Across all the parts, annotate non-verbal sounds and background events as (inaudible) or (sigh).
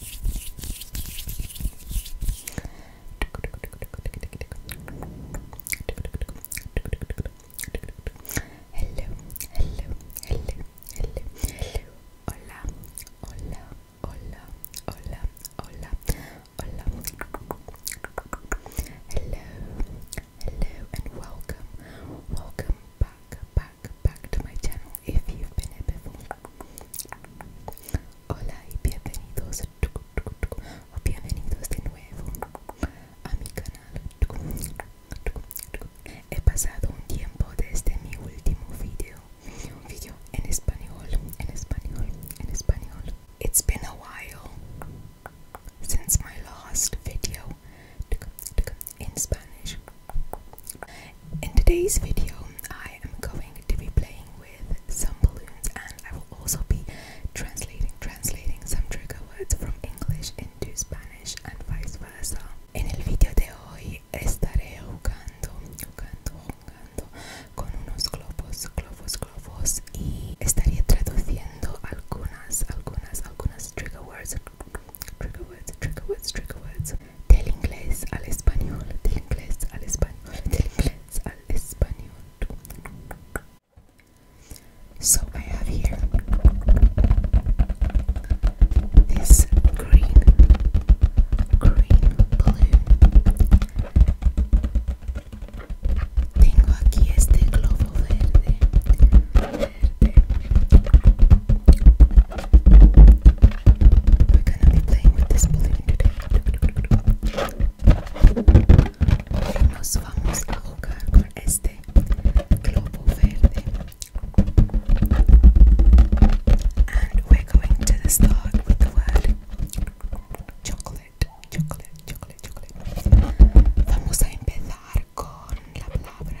hello, hello, hello, hola, hola, hola, hola, hola, hola, hello, hello, and welcome, welcome back, back, back, to my channel if you've been here Hola y bienvenidos bienvenidos de nuevo a mi canal. it It's been a while since my last video in Spanish. In today's video, I am going to be playing with some balloons and I will also be translating translating some trigger words from English into Spanish and vice versa. En el video de hoy estaré jugando, jugando, jugando con unos globos, globos, globos y estaría traduciendo algunas, algunas, algunas trigger words, trigger words, trigger words, trigger words del inglés al español, del inglés al español, del inglés al español. So I have here this green, green blue. Tengo aquí este globo verde, verde. We're gonna be playing with this balloon today. Nos vamos a jugar con este globo verde. And we're going to start with the word chocolate, chocolate, chocolate, chocolate. Vamos a empezar con la palabra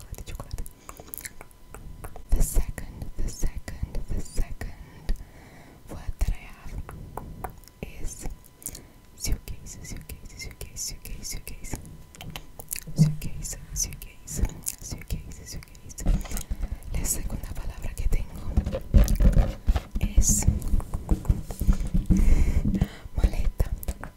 chocolate, chocolate. The second, the second, the second word that I have is suitcase, suitcase, suitcase, suitcase, suitcase, suitcase, suitcase, suitcase, suitcase. La segunda palabra que tengo es maleta,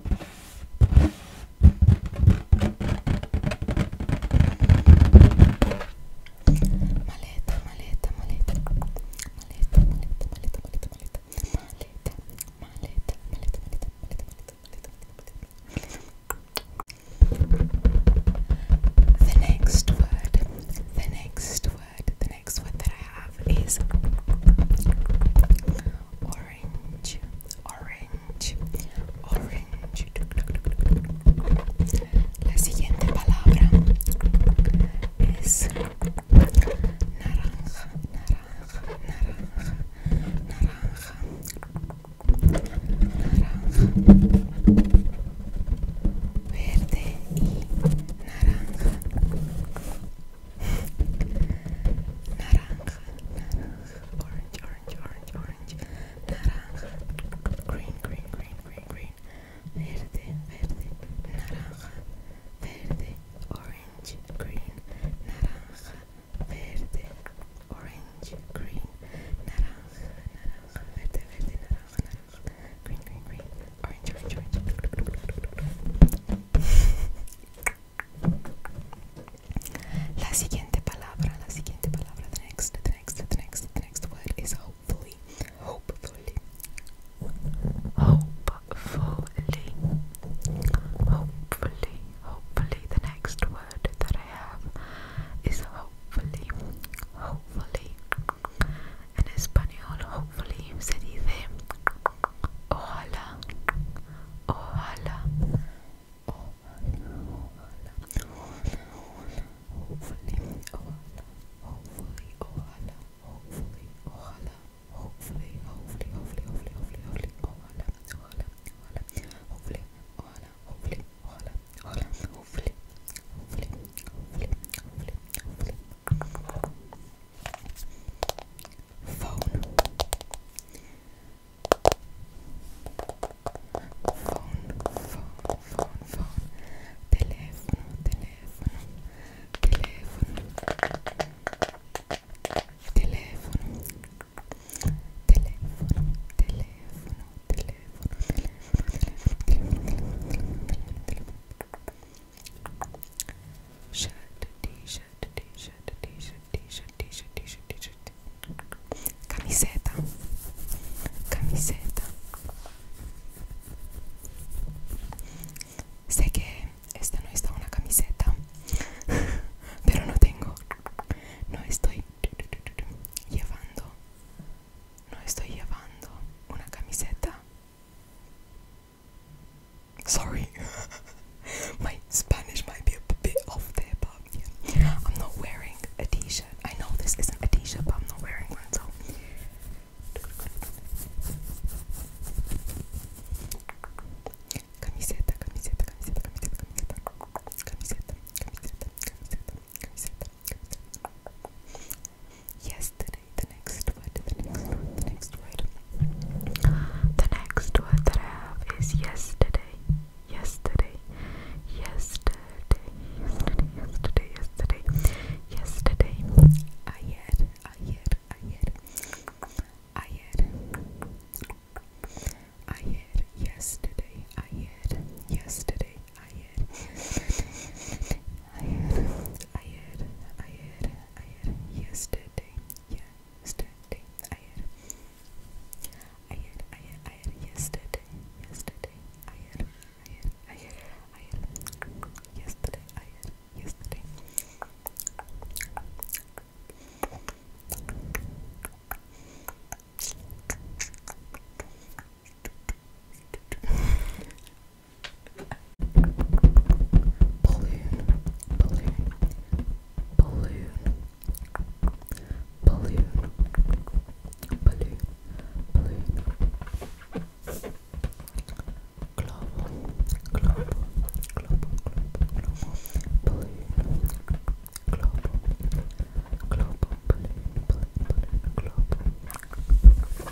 Maleta, maleta, maleta. Maleta, maleta, maleta, maleta, maleta. Maleta, maleta, maleta, maleta, maleta, maleta. The next word, the next word, the next word that I have is orange, orange, orange. La siguiente palabra es naranja, naranja, naranja, naranja, naranja. Verde y naranja. naranja, naranja, orange, orange, orange, orange, naranja, green, green, green, green, green, verde, verde, naranja, verde, orange, green, naranja, verde, orange, green, naranja, naranja, verde, verde, naranja, naranja, green, green, green, orange, orange, orange the next, word is hopefully, hopefully, hopefully, hopefully, hopefully. The next word that I have is hopefully, hopefully. En español, hopefully se dice Ojalá, ojalá, ojalá, ojalá, ojalá, hopefully, ojalá, hopefully, ojalá, hopefully, ojalá, hopefully, hopefully, hopefully, hopefully, hopefully, ojalá, ojalá, ojalá, hopefully, ojalá, hopefully, ojalá, ojalá, hopefully, hopefully, hopefully, hopefully, hopefully phone phone phone phone phone telefono telefono telefono telefono telefono telefono telefono telefono telefono telefono camiseta, camiseta. Sé que esta no está una camiseta, (laughs) pero no tengo, no estoy llevando, no estoy llevando una camiseta Sorry, (laughs) my Spanish might be a bit off there, but yeah. I'm not wearing a t shirt. I know this isn't a t shirt, but I'm not wearing one, so yesterday, the next word, the next word, the next word. The next word that I have is yesterday, yesterday, yesterday, yesterday, yesterday, yesterday, yesterday. Ayer, ayer, ayer, ayer, ayer, yesterday, ayer, yesterday, ayer, ayer, ayer, ayer, ayer, yesterday, yesterday, ayer, ayer, ayer, ayer, yesterday, yesterday, ayer, ayer, ayer, ayer, yesterday, ayer, yesterday balloon, balloon, balloon, balloon, balloon, balloon. Glob, glob, glob, glob, glob, balloon, glob, glob, balloon, balloon, balloon, glob.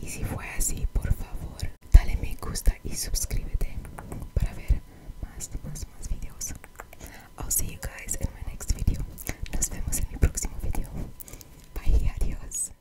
Y si fue así, por favor, dale me gusta y suscríbete para ver más, más, más videos. I'll see you guys in my next video. Nos vemos en mi próximo video. Bye, adiós.